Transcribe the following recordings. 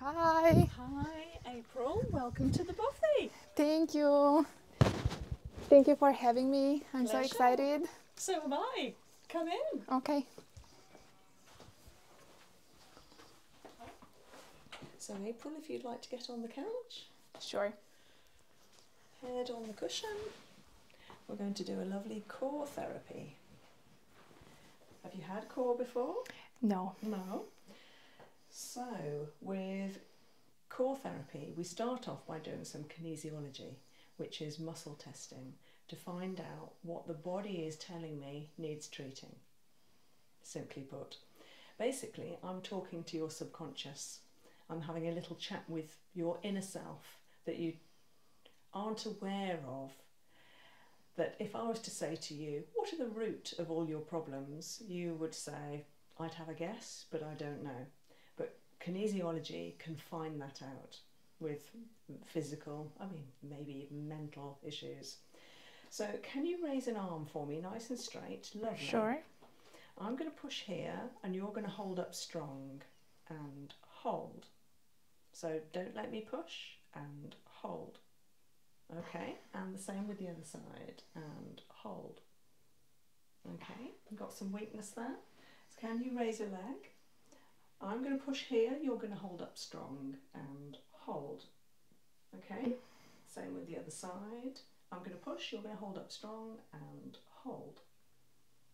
Hi. Hi, April. Welcome to the buffet. Thank you. Thank you for having me. I'm so excited. So am I. Come in. Okay. So, April, if you'd like to get on the couch. Sure. Head on the cushion. We're going to do a lovely core therapy. Have you had core before? No. No. So, with core therapy, we start off by doing some kinesiology, which is muscle testing, to find out what the body is telling me needs treating. Simply put, basically, I'm talking to your subconscious. I'm having a little chat with your inner self that you aren't aware of that if I was to say to you, what are the root of all your problems, you would say, I'd have a guess, but I don't know. But kinesiology can find that out with physical, I mean, maybe even mental issues. So, can you raise an arm for me, nice and straight? Lovely. Sure. I'm going to push here, and you're going to hold up strong and hold. So, don't let me push and hold. Okay, and the same with the other side, and hold. Okay, got some weakness there. can you raise a leg? I'm going to push here, you're going to hold up strong and hold. Okay, same with the other side. I'm going to push, you're going to hold up strong and hold.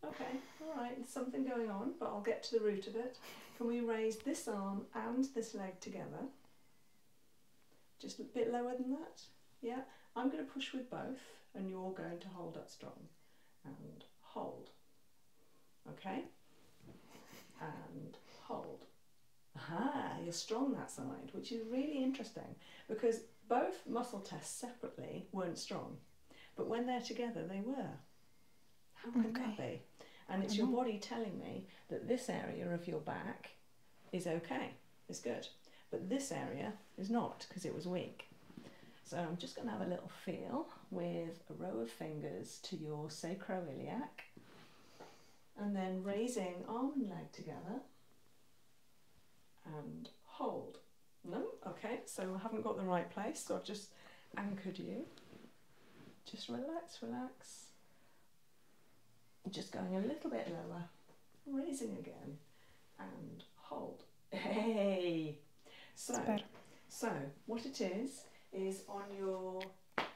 Okay, all right, something going on, but I'll get to the root of it. Can we raise this arm and this leg together? Just a bit lower than that, yeah? I'm going to push with both and you're going to hold up strong and hold, okay? And hold. Ah, you're strong that side, which is really interesting because both muscle tests separately weren't strong, but when they're together, they were. How mm. can that be? And it's your mm-hmm. body telling me that this area of your back is okay, is good, but this area is not because it was weak. So I'm just going to have a little feel with a row of fingers to your sacroiliac and then raising arm and leg together and hold. No? Mm, okay, so I haven't got the right place, so I've just anchored you. Just relax, relax. Just going a little bit lower, raising again, and hold. Hey! So, so what it is, is on your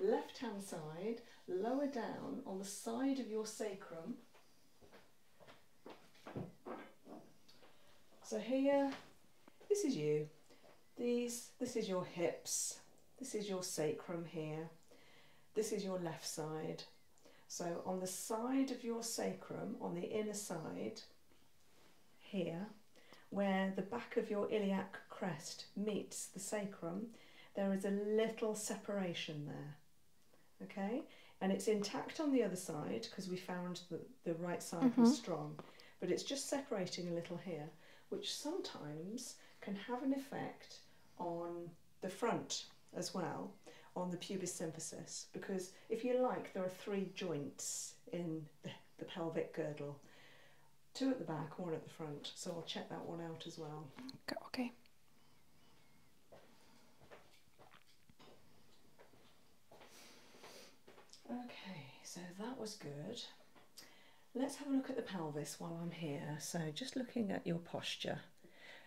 left hand side, lower down on the side of your sacrum. So here, this is you. These, this is your hips, this is your sacrum here, this is your left side. So on the side of your sacrum, on the inner side, here, where the back of your iliac crest meets the sacrum, there is a little separation there, okay? And it's intact on the other side because we found that the right side was mm-hmm. strong, but it's just separating a little here which sometimes can have an effect on the front as well, on the pubis symphysis, because if you like, there are three joints in the, pelvic girdle two at the back, one at the front. So I'll check that one out as well. Okay. Okay, so that was good. Let's have a look at the pelvis while I'm here. So just looking at your posture.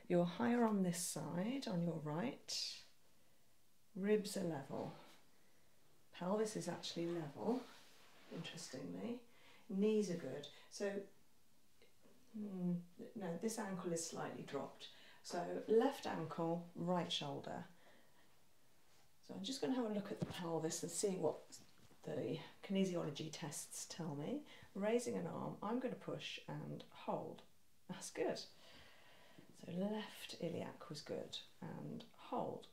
You're higher on this side, on your right. Ribs are level. Pelvis is actually level, interestingly. Knees are good. So, hmm, no, this ankle is slightly dropped. So left ankle, right shoulder. So I'm just going to have a look at the this and see what the kinesiology tests tell me. Raising an arm, I'm going to push and hold. That's good. So left iliac was good and hold.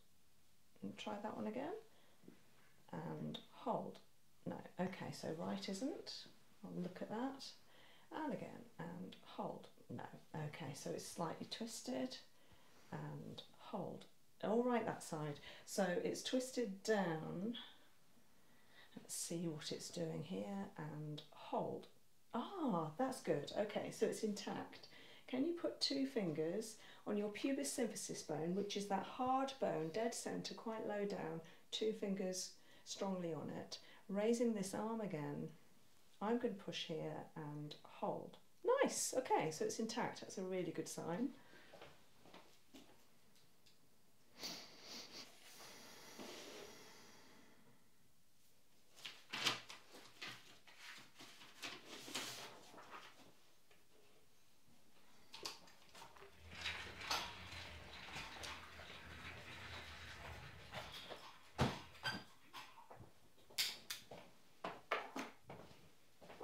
And try that one again and hold. No, okay, so right isn't. look at that. And again, and hold. No, okay, so it's slightly twisted and hold all right that side. So it's twisted down. Let's see what it's doing here and hold. Ah, that's good. Okay, so it's intact. Can you put two fingers on your pubis symphysis bone, which is that hard bone, dead centre, quite low down, two fingers strongly on it, raising this arm again. I'm going to push here and hold. Nice, okay, so it's intact. That's a really good sign.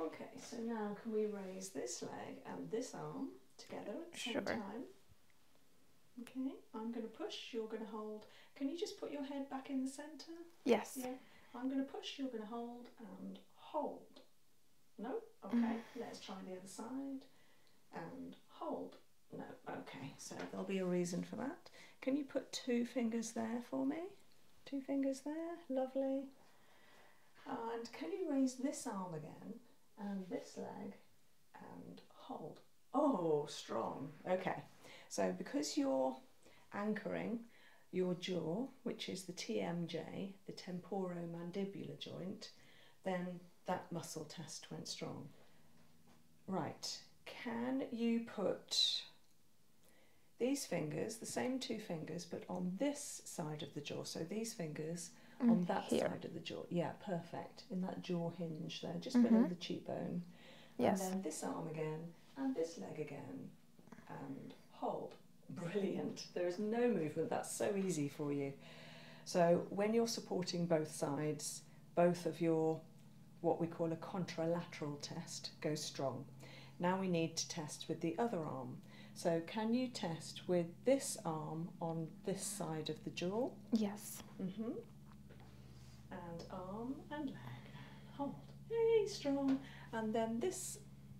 Okay, so now can we raise this leg and this arm together at the same sure. Okay, I'm going to push, you're going to hold. Can you just put your head back in the centre? Yes. Yeah. I'm going to push, you're going to hold, and hold. No? Mm-hmm. Okay, let's try the other side. And hold. No, okay, so there'll be a reason for that. Can you put two fingers there for me? Two fingers there, lovely. And can you raise this arm again and this leg and hold? Oh, strong. Okay. So because you're anchoring your jaw, which is the TMJ, the temporomandibular joint, then that muscle test went strong. Right. Can you put these fingers, the same two fingers, but on this side of the jaw. So these fingers mm, on that side of the jaw. Yeah, perfect. In that jaw hinge there, just mm-hmm. below the cheekbone. Yes. then this arm again, and this leg again, and hold. Brilliant. There is no movement. That's so easy for you. So when you're supporting both sides, both of your what we call a contralateral test go strong. Now we need to test with the other arm. So can you test with this arm on this side of the jaw? Yes. Mhm. and arm and leg. Hold. Hey, strong. And then this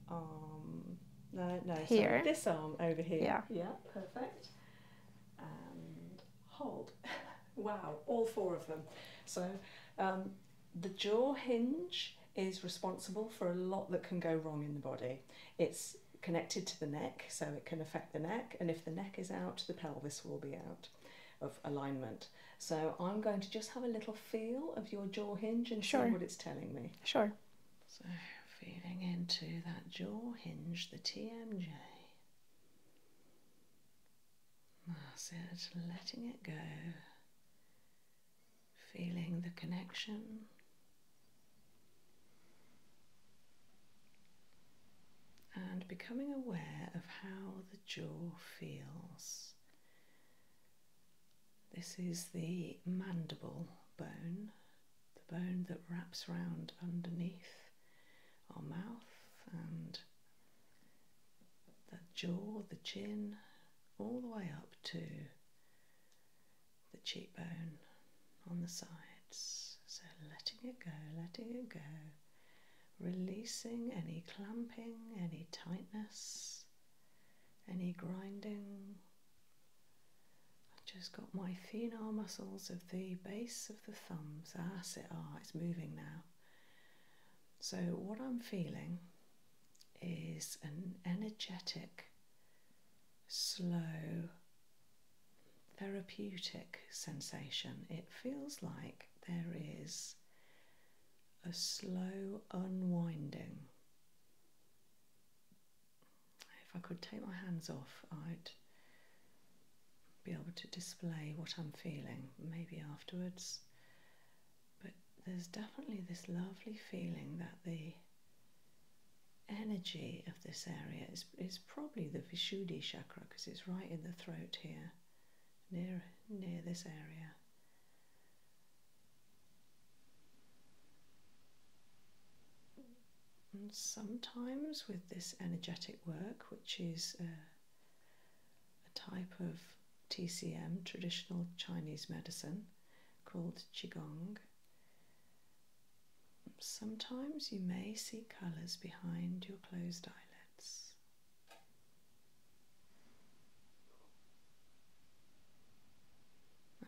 arm. No, no. Here. this arm over here. Yeah. Yeah. Perfect. And hold. wow. All four of them. So um, the jaw hinge is responsible for a lot that can go wrong in the body. It's connected to the neck, so it can affect the neck, and if the neck is out, the pelvis will be out of alignment. So I'm going to just have a little feel of your jaw hinge and sure. see what it's telling me. Sure. So feeling into that jaw hinge, the TMJ. That's it, letting it go feeling the connection. And becoming aware of how the jaw feels. This is the mandible bone, the bone that wraps round underneath our mouth and the jaw, the chin, all the way up to the cheekbone on the sides. So letting it go, letting it go, releasing any clamping, any tightness, any grinding. I've just got my phenar muscles of the base of the thumbs. ah, it's moving now. So, what I'm feeling is an energetic, slow, therapeutic sensation. It feels like there is a slow unwinding. If I could take my hands off, I'd be able to display what I'm feeling. Maybe afterwards but there's definitely this lovely feeling that the energy of this area is, is probably the Vishuddhi chakra because it's right in the throat here, near, near this area. sometimes with this energetic work, which is uh, a type of TCM, traditional Chinese medicine, called Qigong. Sometimes you may see colours behind your closed eyelids.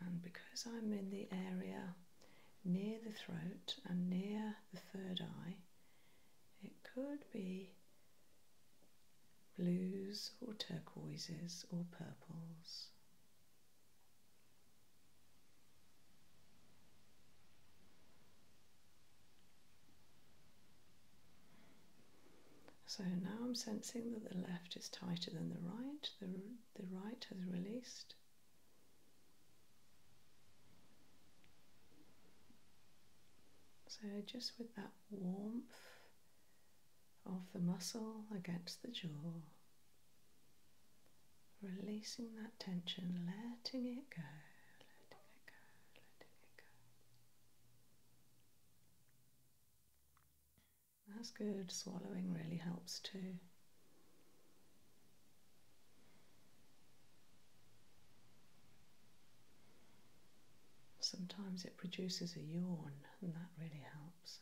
And because I'm in the area near the throat and near the third eye, it could be blues or turquoises or purples. So now I'm sensing that the left is tighter than the right, the, the right has released. So just with that warmth of the muscle against the jaw, releasing that tension, letting it go, letting it go, letting it go. That's good, swallowing really helps too. Sometimes it produces a yawn, and that really helps.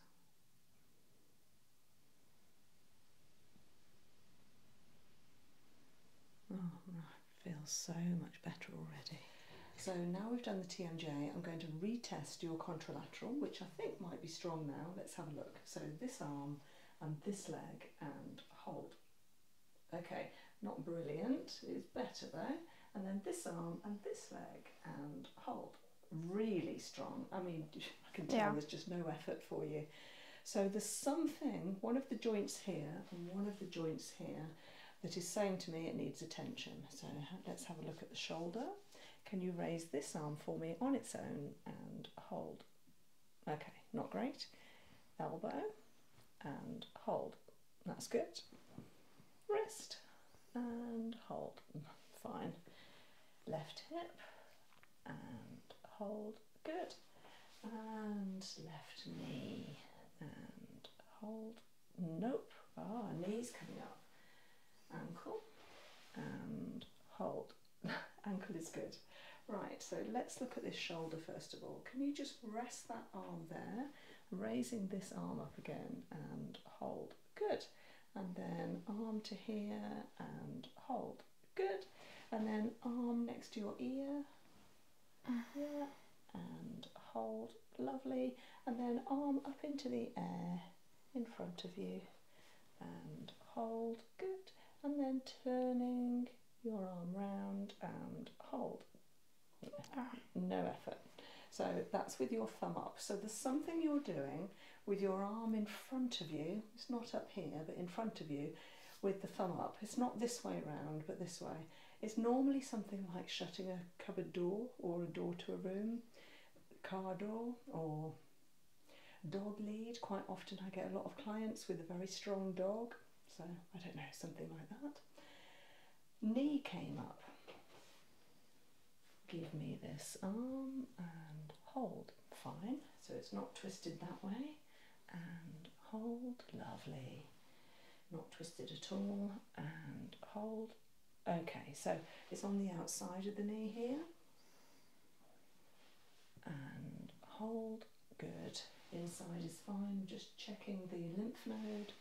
Oh, I feel so much better already. So now we've done the TMJ, I'm going to retest your contralateral, which I think might be strong now. Let's have a look. So this arm and this leg and hold. Okay, not brilliant, it's better though. And then this arm and this leg and hold really strong. I mean, I can tell there's just no effort for you. So there's something, one of the joints here and one of the joints here, that is saying to me it needs attention. So let's have a look at the shoulder. Can you raise this arm for me on its own and hold? Okay, not great. Elbow and hold. That's good wrist and hold. Fine. Left hip and hold. Good. And left knee and hold. Nope. oh, knees coming up. Ankle and hold. Ankle is good. Right, so let's look at this shoulder first of all. Can you just rest that arm there, raising this arm up again and hold? Good and then arm to here and hold. Good. And then arm next to your ear. Yeah. And hold. Lovely. And then arm up into the air in front of you and hold. Good. And then turning your arm round and hold. Ah. No effort. So that's with your thumb up. So there's something you're doing with your arm in front of you. It's not up here, but in front of you with the thumb up. It's not this way around, but this way. It's normally something like shutting a cupboard door or a door to a room, car door or dog lead. Quite often I get a lot of clients with a very strong dog, so I don't know, something like that knee came up. Give me this arm and hold. Fine. So it's not twisted that way. And hold. Lovely. Not twisted at all. And hold. Okay, so it's on the outside of the knee here. And hold. Good. Inside is fine. Just checking the lymph node.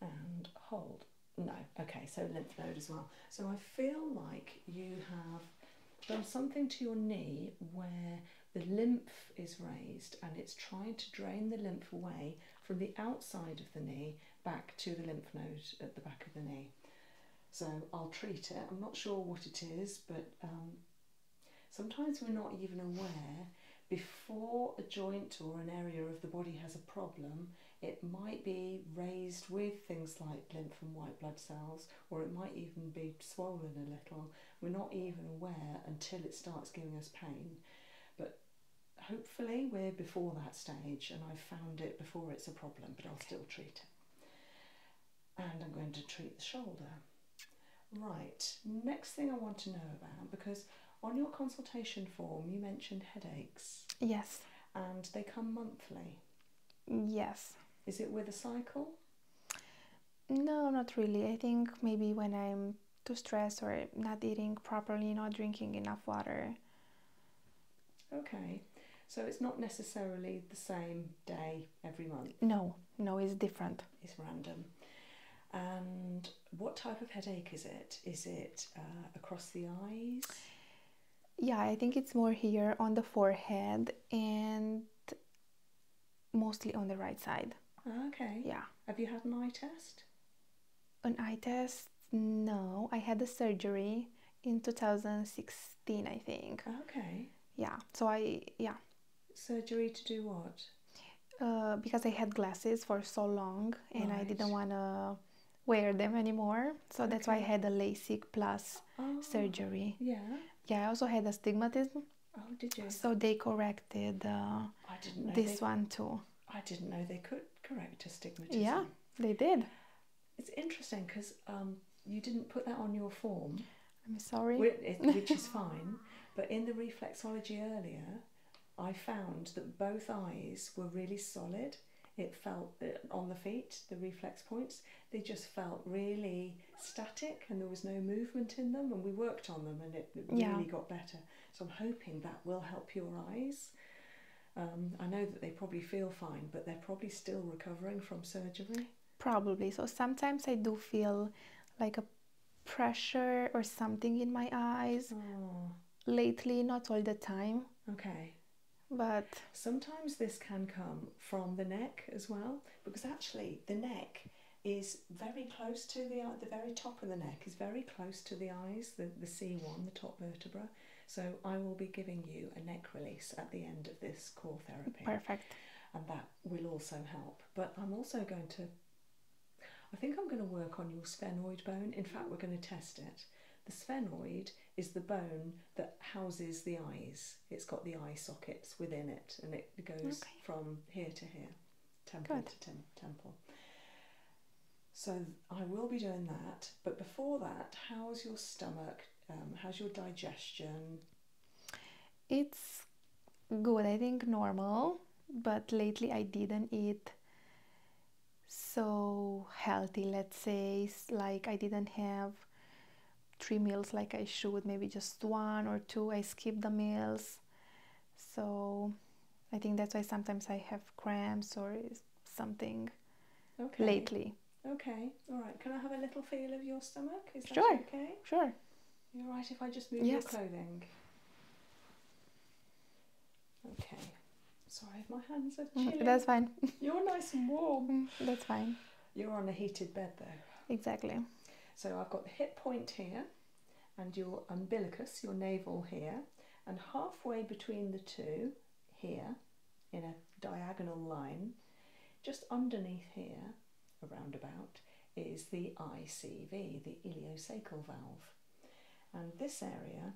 And hold. No, okay, so lymph node as well. So I feel like you have done something to your knee where the lymph is raised and it's trying to drain the lymph away from the outside of the knee back to the lymph node at the back of the knee. So I'll treat it. I'm not sure what it is, but um, sometimes we're not even aware. Before a joint or an area of the body has a problem, it might be raised with things like lymph and white blood cells, or it might even be swollen a little. We're not even aware until it starts giving us pain. But hopefully, we're before that stage, and I've found it before it's a problem, but I'll still treat it. And I'm going to treat the shoulder. Right, next thing I want to know about because on your consultation form, you mentioned headaches. Yes. And they come monthly? Yes. Is it with a cycle? No, not really. I think maybe when I'm too stressed or not eating properly, not drinking enough water. Okay. So it's not necessarily the same day every month? No, no, it's different. It's random. And what type of headache is it? Is it uh, across the eyes? yeah, I think it's more here on the forehead and mostly on the right side. Okay. Yeah. Have you had an eye test? An eye test? No, I had the surgery in 2016, I think. Okay. Yeah. So I yeah. Surgery to do what? Uh, because I had glasses for so long and I didn't want to wear them anymore. So that's why I had a LASIK plus oh, surgery. Yeah. Yeah, I also had astigmatism. Oh, did you? So they corrected uh, this one too. I didn't know they could correct astigmatism. Yeah, they did. It's interesting because um, you didn't put that on your form. I'm sorry. which is fine. But in the reflexology earlier, I found that both eyes were really solid. It felt uh, on the feet, the reflex points, they just felt really static and there was no movement in them. And we worked on them and it, really got better. So I'm hoping that will help your eyes. Um, I know that they probably feel fine, but they're probably still recovering from surgery. Probably. So sometimes I do feel like a pressure or something in my eyes. Oh. Lately, not all the time. Okay. But sometimes this can come from the neck as well, because actually the neck is very close to the the very top of the neck is very close to the eyes, the, the C1, the top vertebra. So I will be giving you a neck release at the end of this core therapy. Perfect. And that will also help. But I'm also going to, I think I'm going to work on your sphenoid bone. In fact, we're going to test it. The sphenoid is the bone that houses the eyes. It's got the eye sockets within it and it goes from here to here, temple to temple. So I will be doing that, but before that, how's your stomach? Um, how's your digestion? It's good, I think normal, but lately I didn't eat so healthy let's say like i didn't have three meals like i should maybe just one or two i skip the meals so i think that's why sometimes i have cramps or something lately okay all right can i have a little feel of your stomach is that sure. okay sure you're right if i just move your clothing Okay. Sorry, my hands are mm, chilling. That's fine. You're nice and warm. Mm, that's fine. You're on a heated bed though. Exactly. So I've got the hip point here and your umbilicus, your navel here, and halfway between the two here in a diagonal line, just underneath here, around about, is the ICV, the ileocecal valve. And this area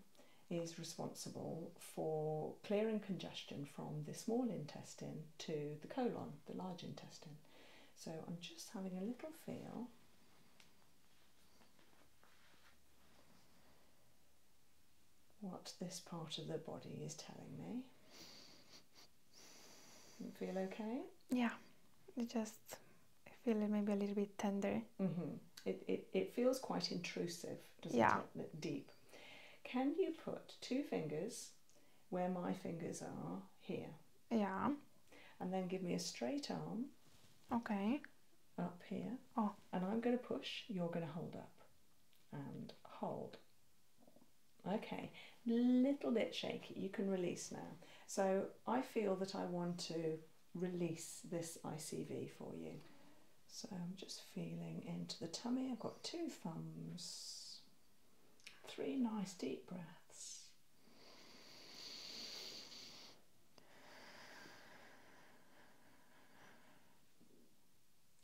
is responsible for clearing congestion from the small intestine to the colon, the large intestine. So I'm just having a little feel. What this part of the body is telling me. feel okay? Yeah, just feel maybe a little bit tender really. Mm mm-hmm. It, it, it feels quite intrusive, doesn't yeah. Deep. Can you put two fingers where my fingers are here? Yeah. And then give me a straight arm. Okay. Up here. Oh. And I'm going to push, you're going to hold up. And hold. Okay. Little bit shaky. You can release now. So I feel that I want to release this ICV for you. So I'm just feeling into the tummy. I've got two thumbs, three nice deep breaths.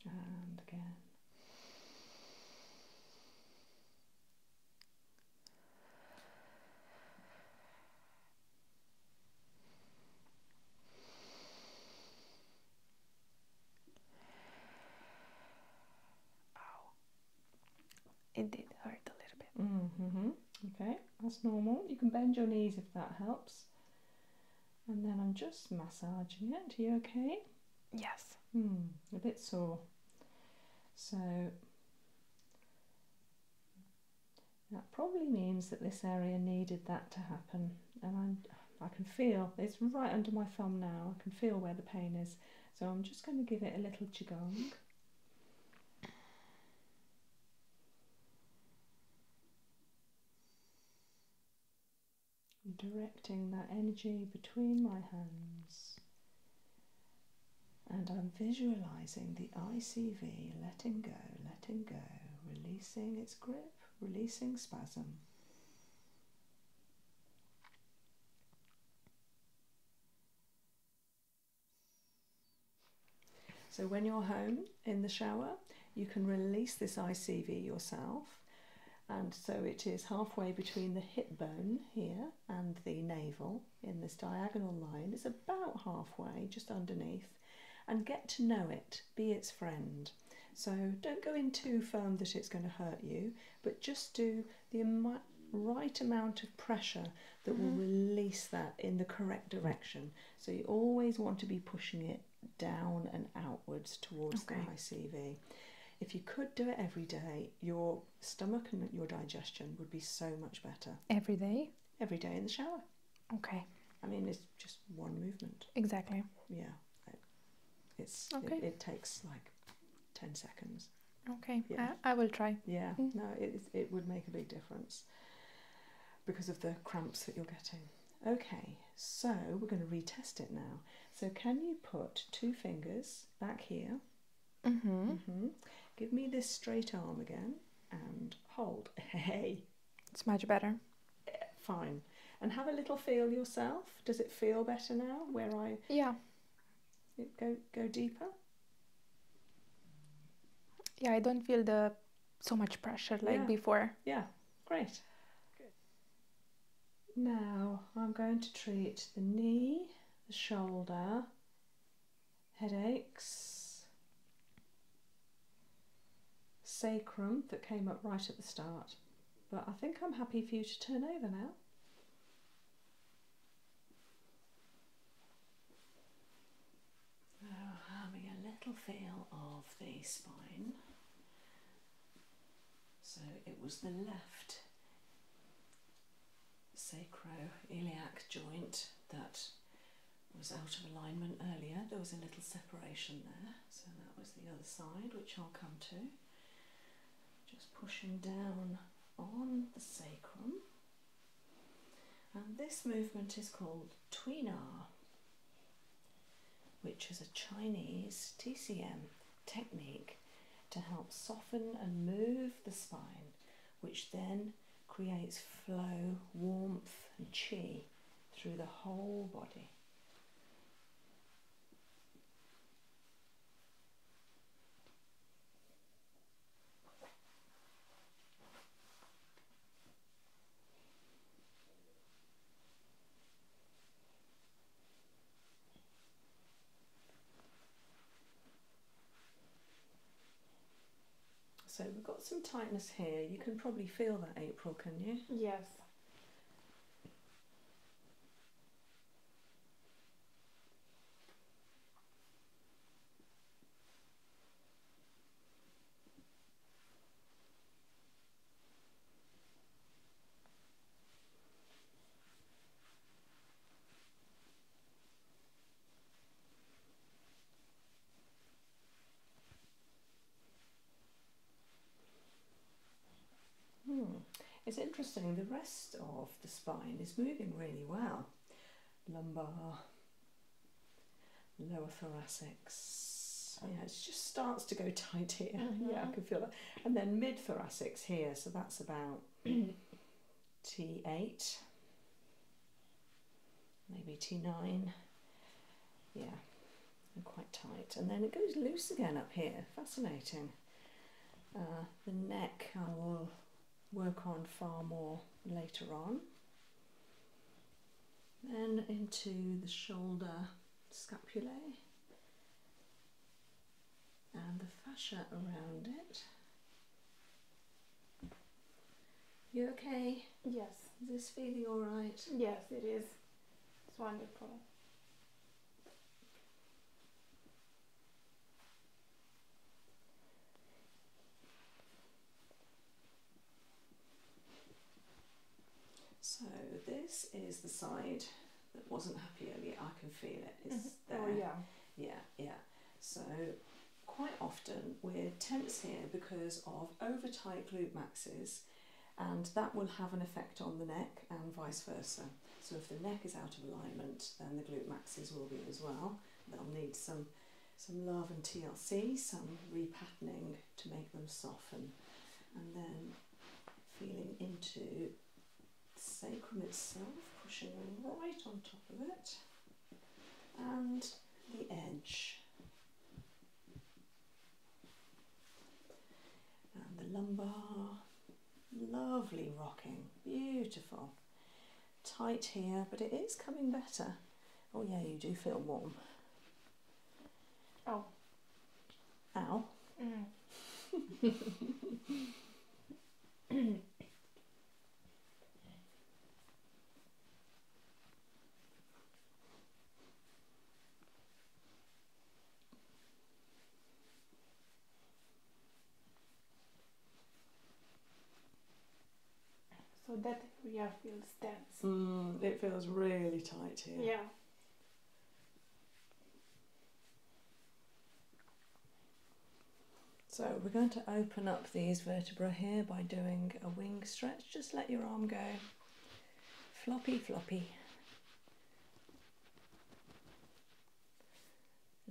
And again. It did hurt a little bit. -hmm. Okay, that's normal. You can bend your knees if that helps. And then I'm just massaging it. Are you okay? Yes. Mm, a bit sore. So that probably means that this area needed that to happen and i can feel, it's right under my thumb now, I can feel where the pain is. So I'm just going to give it a little qigong. I'm directing that energy between my hands and I'm visualizing the ICV letting go, letting go, releasing its grip, releasing spasm. So when you're home in the shower, you can release this ICV yourself. And so it is halfway between the hip bone here and the navel in this diagonal line. It's about halfway, just underneath and get to know it, be its friend. So don't go in too firm that it's going to hurt you, but just do the Im right amount of pressure that will mm-hmm. release that in the correct direction. So you always want to be pushing it down and outwards towards the ICV. If you could do it every day, your stomach and your digestion would be so much better. Every day? Every day in the shower. Okay. I mean, it's just one movement. Exactly. Yeah. It, it's It, takes like ten seconds. Okay. Yeah. I, will try. Yeah. Mm. No, it it would make a big difference because of the cramps that you're getting. Okay, so we're going to retest it now. So can you put two fingers back here? Mm-hmm. mm-hmm. Give me this straight arm again and hold. Hey. It's much better. Fine. And have a little feel yourself. Does it feel better now where I Yeah. Go go deeper? Yeah, I don't feel the so much pressure like before. Yeah. Great. Now I'm going to treat the knee, the shoulder, headaches, sacrum that came up right at the start. But I think I'm happy for you to turn over now. Oh, having a little feel of the spine. So it was the left sacroiliac joint that was out of alignment earlier. There was a little separation there, so that was the other side, which I'll come to. Just pushing down on the sacrum. And this movement is called Tweenar, which is a Chinese TCM technique to help soften and move the spine, which then creates flow, warmth, and chi through the whole body. So we've got some tightness here. You can probably feel that April, can you? Yes. Hmm. It's interesting, the rest of the spine is moving really well. Lumbar, lower thoracics. Yeah, it just starts to go tight here. Yeah, I mm-hmm. can feel that. And then mid thoracics here, so that's about T8. maybe T9. Yeah, and quite tight. And then it goes loose again up here, fascinating. Uh, the neck I will work on far more later on. Then into the shoulder scapulae and the fascia around it. You okay? Yes. Is this feeling alright? Yes, it is. It's wonderful. So this is the side that wasn't happy earlier. I can feel it. It's mm-hmm. oh, there. Oh yeah. Yeah, yeah. So quite often we're tense here because of over tight glute maxes, and that will have an effect on the neck and vice versa. So if the neck is out of alignment, then the glute maxes will be as well. They'll need some some love and TLC, some repatterning to make them soften, and then feeling into the sacrum itself, pushing right on top of it, and the edge. And the lumbar, lovely rocking, beautiful. Tight here, but it is coming better. Oh yeah, you do feel warm. Oh. Ow. Mm. So that area feels dense. Mm, it feels really tight here. Yeah. So we're going to open up these vertebrae here by doing a wing stretch. Just let your arm go floppy floppy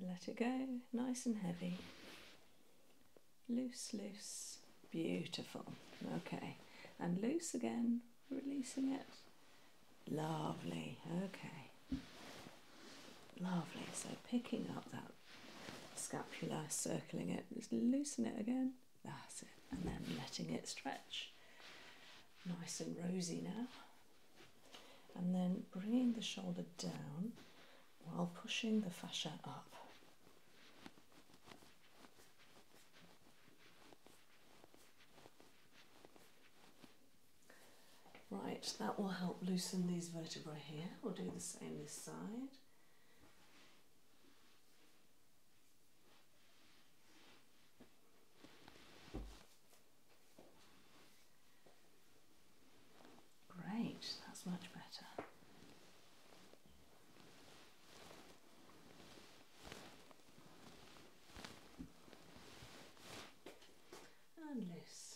let it go nice and heavy loose loose beautiful okay and loose again releasing it lovely okay lovely so picking up that scapula circling it just loosen it again that's it. And then letting it stretch. Nice and rosy now. And then bringing the shoulder down while pushing the fascia up. Right, that will help loosen these vertebrae here. We'll do the same this side. Great, that's much better. And loose.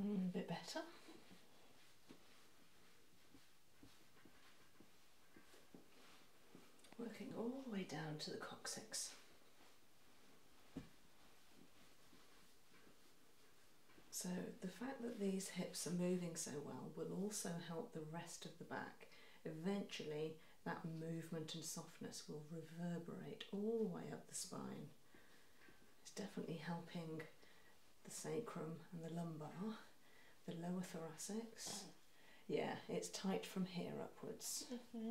Mm, a bit better. Working all the way down to the coccyx. So the fact that these hips are moving so well will also help the rest of the back eventually that movement and softness will reverberate all the way up the spine. It's definitely helping the sacrum and the lumbar, the lower thoracics. Yeah, it's tight from here upwards. Mm-hmm.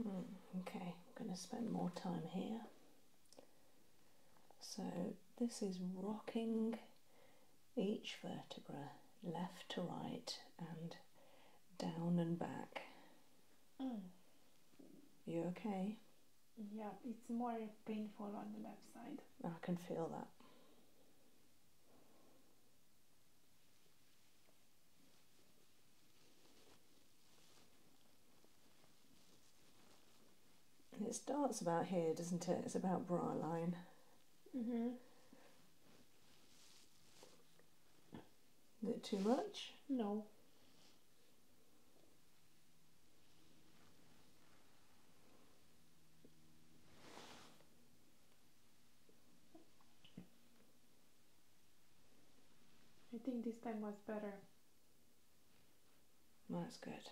Mm, okay, I'm going to spend more time here. So this is rocking each vertebra left to right and down and back. Mm. You okay? Yeah, it's more painful on the left side. I can feel that. It starts about here, doesn't it? It's about bra line. Mhm. Mm is it too much? No. I think this time was better. Well, That's good.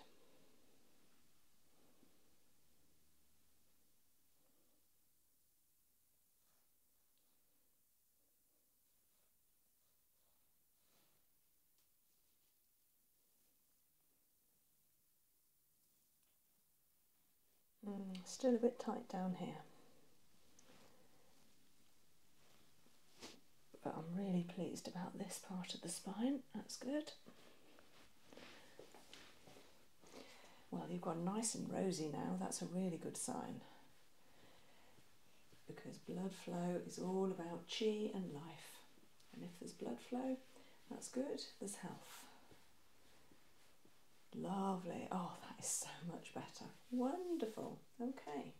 Mm, still a bit tight down here. But I'm really pleased about this part of the spine, that's good. Well, you've gone nice and rosy now. That's a really good sign. Because blood flow is all about chi and life. And if there's blood flow, that's good. There's health. Lovely. Oh, that is so much better. Wonderful. Okay.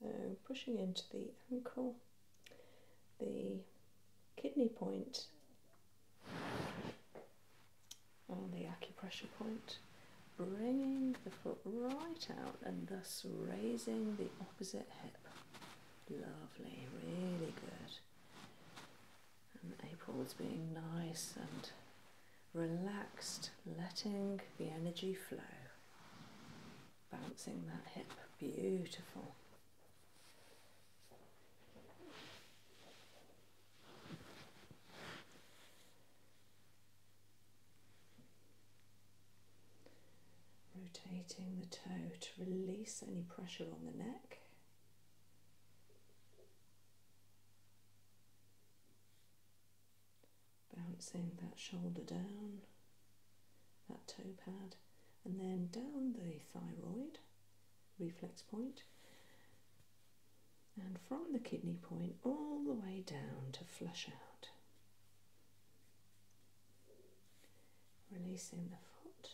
So pushing into the ankle, the kidney point on the acupressure point, bringing the foot right out and thus raising the opposite hip. Lovely, really good. And April's being nice and relaxed, letting the energy flow. Bouncing that hip, beautiful. Rotating the toe to release any pressure on the neck. Bouncing that shoulder down, that toe pad, and then down the thyroid reflex point and from the kidney point all the way down to flush out. Releasing the foot,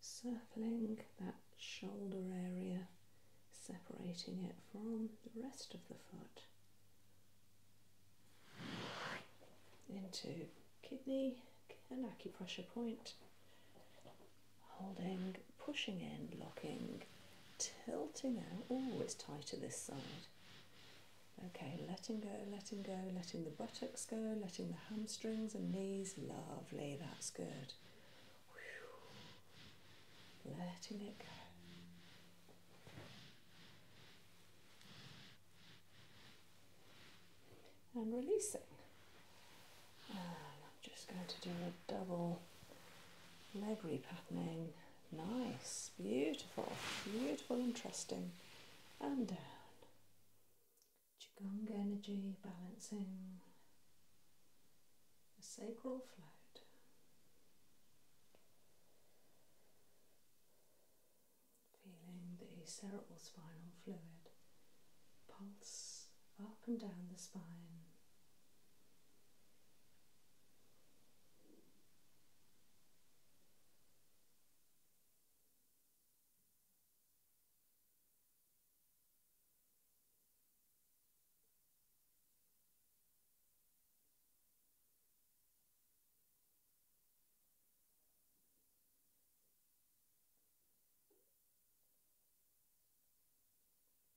circling that shoulder area, separating it from the rest of the foot into kidney and acupressure point holding, pushing in, locking, tilting out. Oh, it's tighter this side. Okay, letting go, letting go, letting the buttocks go, letting the hamstrings and knees. Lovely, that's good. Letting it go. And releasing. I'm just going to do a double leg repatterning. Nice, beautiful, beautiful, interesting. And down. Qigong energy balancing the sacral float. Feeling the cerebral spinal fluid pulse up and down the spine.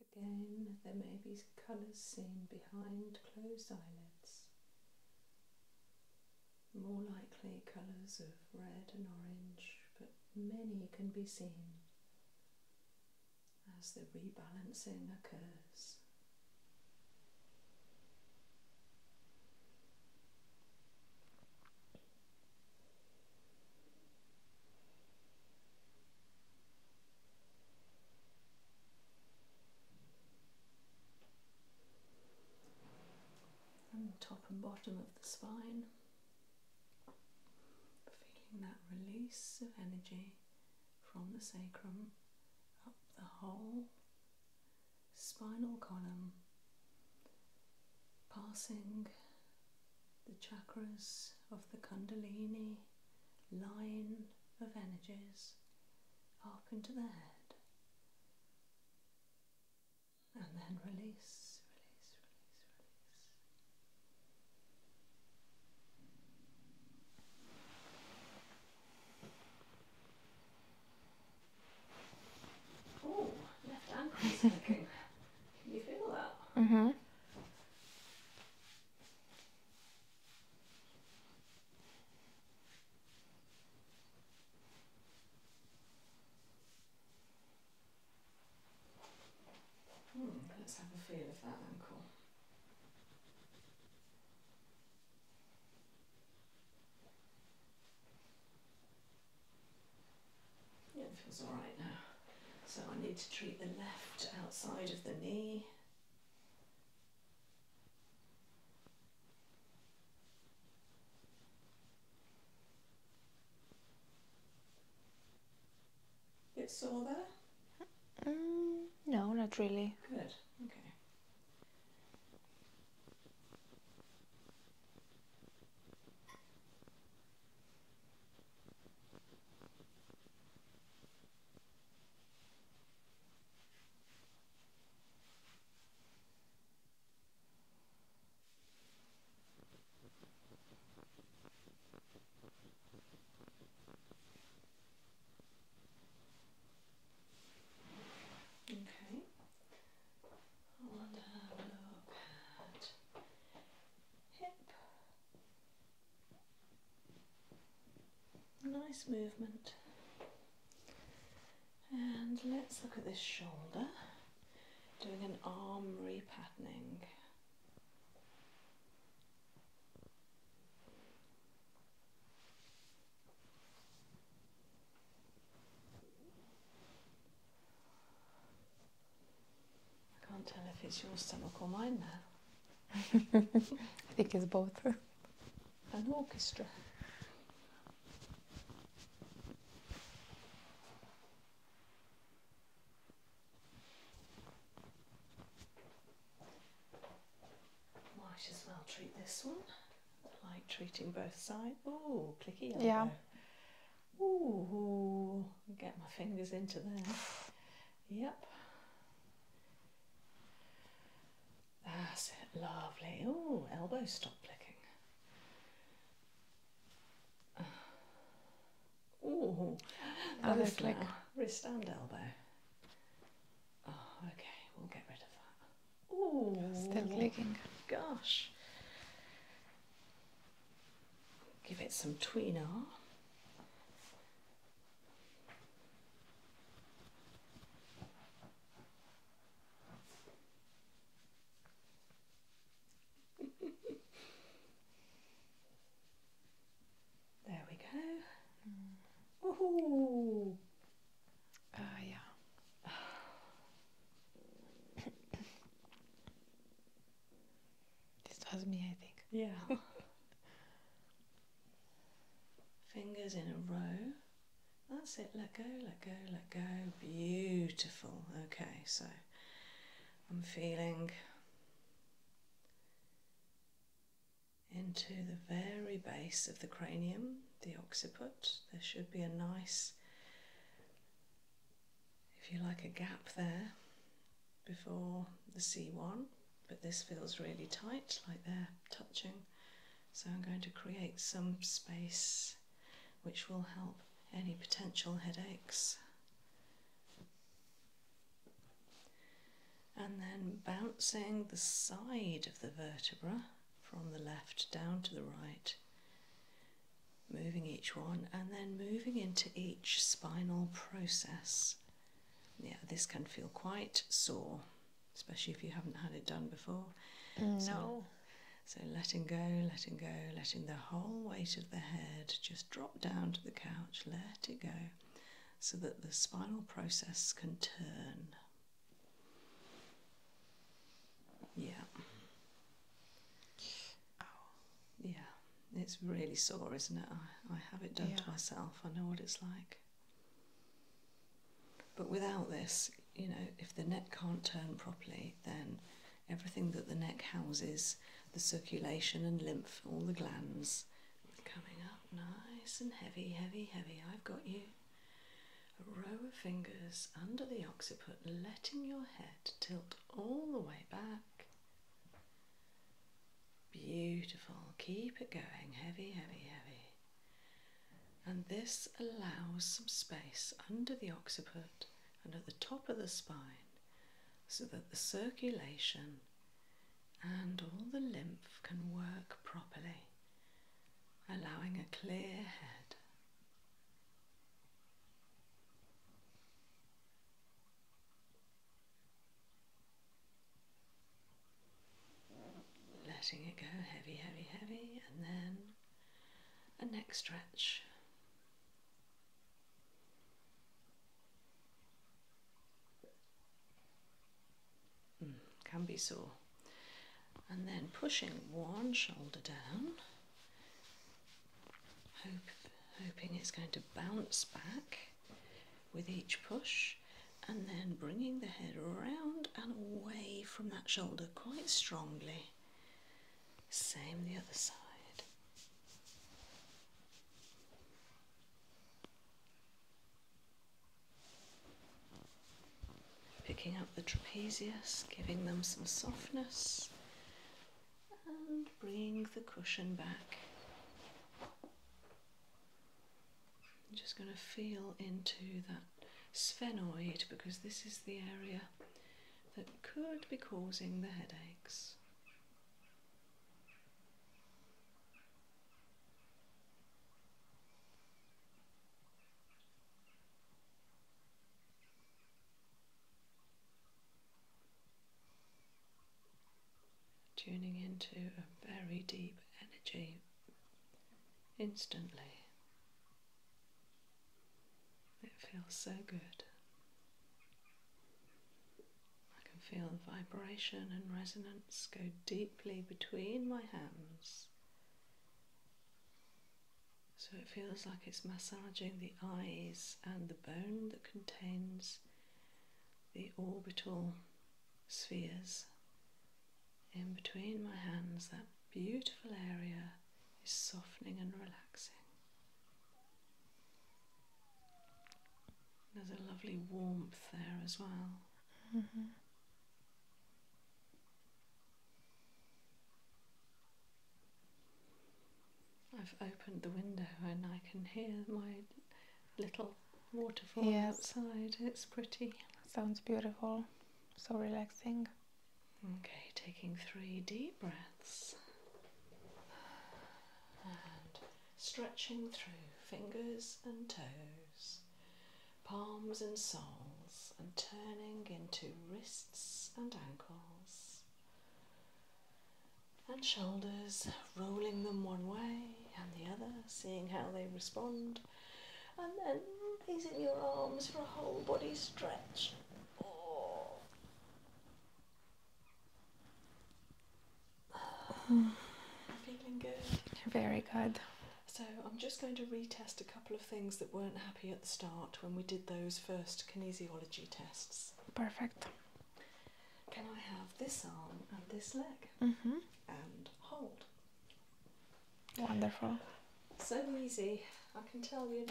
Again, there may be colours seen behind closed eyelids, more likely colours of red and orange, but many can be seen as the rebalancing occurs and the top and bottom of the spine. Feeling that release of energy from the sacrum up the whole spinal column, passing the chakras of the Kundalini line of energies up into the head and then release, release, release, release. Oh, left ankle Can you feel that? Mm-hmm. Hmm, let's have a feel of that ankle. it feels alright now. So I need to treat the left outside of the knee Bit sore there? Mm, no, not really. Good, okay. Okay, I want to have a look at hip Nice movement. And let's look at this shoulder, doing an arm repatterning. I can't tell if it's your stomach or mine now. I think it's both. An orchestra. might as well treat this one. like treating both sides. Oh, clicky Yeah. Ooh, get my fingers into there. Yep. That's it, lovely. Oh, elbow stop clicking. Oh, elbow click. Now. Wrist and elbow. Oh, okay, we'll get rid of that. Oh, still clicking. Gosh. Give it some tweener. there we go. Oh. yeah. this was me, I think. Yeah. Fingers in a row. That's it, let go, let go, let go. Beautiful. Okay, so I'm feeling into the very base of the cranium, the occiput. There should be a nice, if you like, a gap there before the C1 but this feels really tight like they're touching so I'm going to create some space which will help any potential headaches and then bouncing the side of the vertebra from the left down to the right moving each one and then moving into each spinal process yeah, this can feel quite sore, especially if you haven't had it done before. No. So, so letting go, letting go, letting the whole weight of the head just drop down to the couch, let it go, so that the spinal process can turn. Yeah. Oh. Yeah. It's really sore, isn't it? I, have it done to myself. I know what it's like. But without this, you know, if the neck can't turn properly, then everything that the neck houses, the circulation and lymph, all the glands, coming up nice and heavy, heavy, heavy. I've got you. A row of fingers under the occiput, letting your head tilt all the way back. Beautiful. Keep it going. Heavy, heavy, heavy. And this allows some space under the occiput and at the top of the spine so that the circulation and all the lymph can work properly, allowing a clear head. Letting it go heavy, heavy, heavy, and then a neck stretch. Hmm, can be sore. And then pushing one shoulder down, hoping it's going to bounce back with each push and then bringing the head around and away from that shoulder quite strongly. Same the other side. Picking up the trapezius, giving them some softness, and bringing the cushion back. I'm just going to feel into that sphenoid because this is the area that could be causing the headaches tuning into a very deep energy instantly. It feels so good. I can feel the vibration and resonance go deeply between my hands. So it feels like it's massaging the eyes and the bone that contains the orbital spheres in between my hands. That beautiful area is softening and relaxing. There's a lovely warmth there as well. Mm-hmm. I've opened the window and I can hear my little waterfall outside. It's pretty. Sounds beautiful. So relaxing. Okay, taking three deep breaths and stretching through fingers and toes, palms and soles, and turning into wrists and ankles and shoulders, rolling them one way and the other, seeing how they respond, and then raising your arms for a whole body stretch. Oh. Feeling good. Very good. So I'm just going to retest a couple of things that weren't happy at the start when we did those first kinesiology tests. Perfect. Can I have this arm and this leg? Mm -hmm and hold. Wonderful. So easy. I can tell you,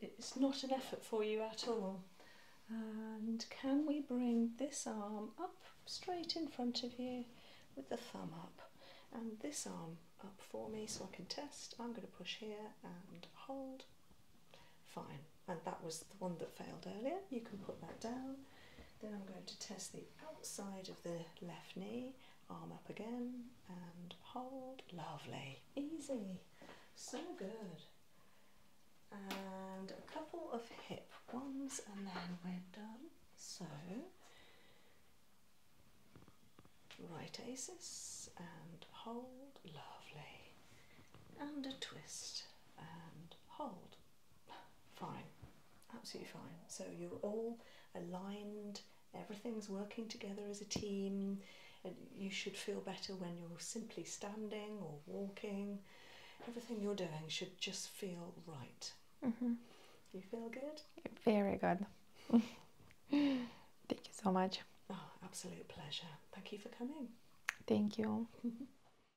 it's not an effort for you at all. And can we bring this arm up straight in front of you with the thumb up and this arm up for me so I can test. I'm going to push here and hold. Fine and that was the one that failed earlier. You can put that down. Then I'm going to test the outside of the left knee, arm up again and hold. Lovely, easy, so good. And a couple of hip ones, and then we're done. So, right aces and hold, lovely, and a twist and hold fine, absolutely fine. So you're all aligned, everything's working together as a team, you should feel better when you're simply standing or walking. Everything you're doing should just feel right. Mm-hmm. You feel good? Very good. Thank you so much. Oh, absolute pleasure. Thank you for coming. Thank you.